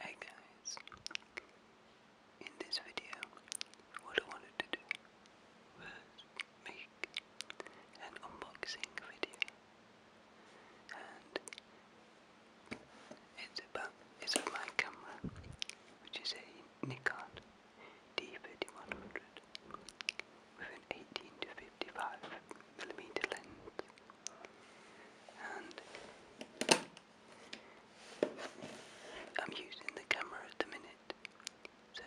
Hey guys, in this video, what I wanted to do was make an unboxing video, and it's about It's on my camera, which is a Nikon d 5100 with an 18 to 55 millimeter lens, and I'm using the camera at the minute, so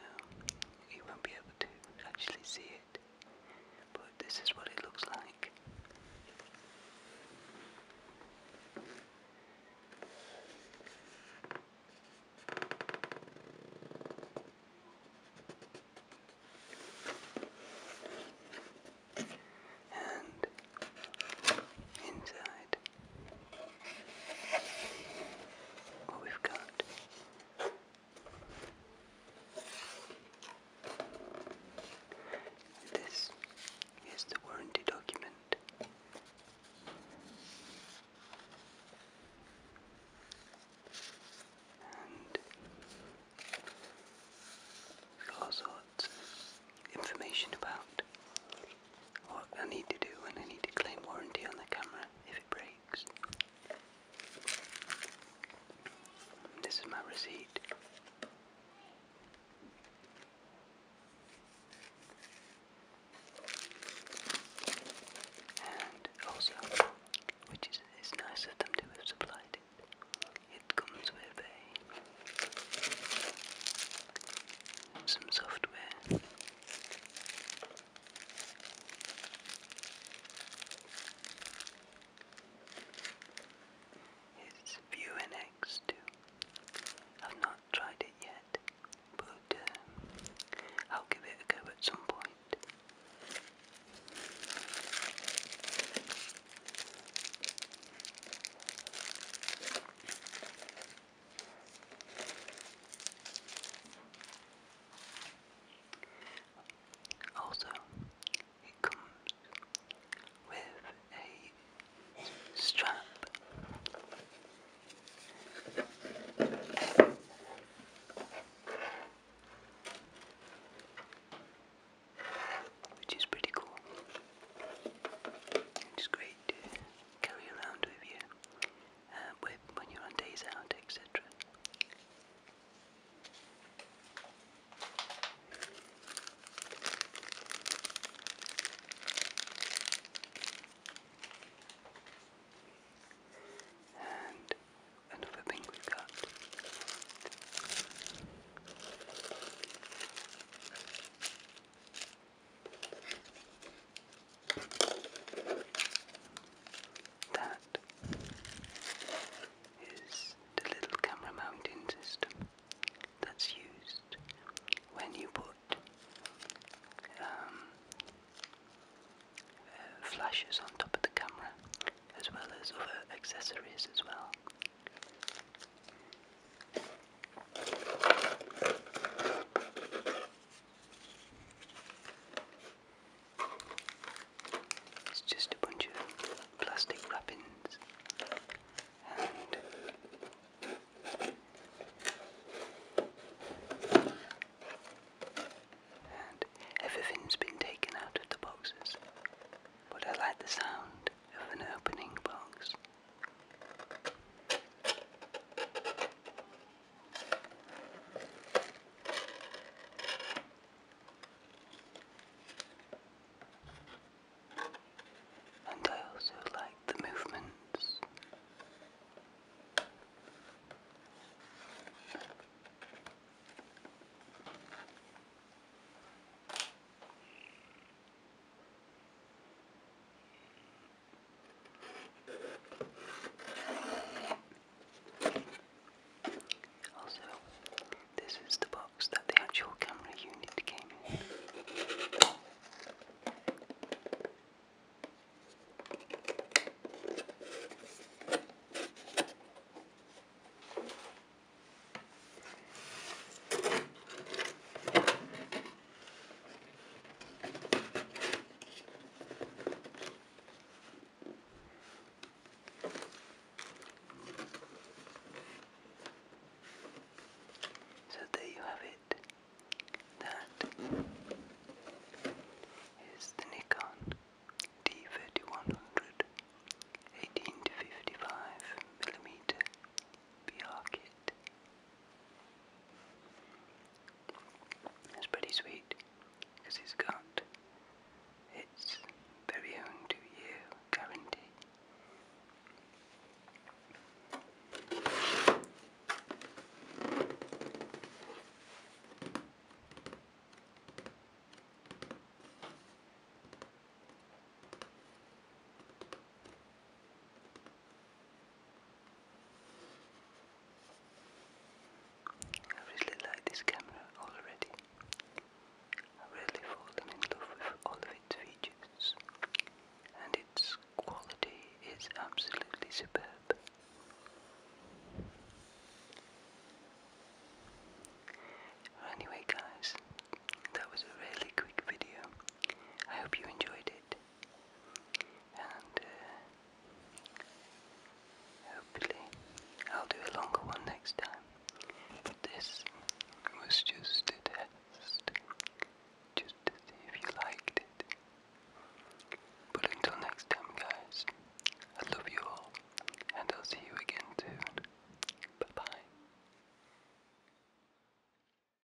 you won't be able to actually see it. But this is what it looks like blank. And inside, what we've got this Here's the warranty document. And all sorts of information about what I need to do when I need to claim warranty on the camera if it breaks. This is my receipt. And also, which is, is nice of them to have supplied it, it comes with a some software. It's View NX too. I've not tried it yet, but uh, I'll give it a go at some point. Also, it comes with a strap. Which is pretty cool. It's great to carry around with you uh, when you're on days out, etc. And another thing we've got that is the little camera mounting system that's used when you put um, uh, flashes on top of the camera as well as other accessories as well. It's just a bunch of plastic wrappings and everything's been taken out of the boxes. But I like the sound of an opening box. And I also like the movements. Also, this is the box that the actual camera unit came in. So there you have it. That is the Nikon D3100 18 to 55 mm PR kit. It's pretty sweet because it's got its very own to you guarantee. I really like this camera already. I really fallen in love with all of its features and its quality is absolutely superb. Anyway guys, that was a really quick video. I hope you enjoyed it and uh, hopefully I'll do a longer one next time. But this was just a test, just if you liked it. But until next time, guys, I love you all, and I'll see you again soon. Bye bye.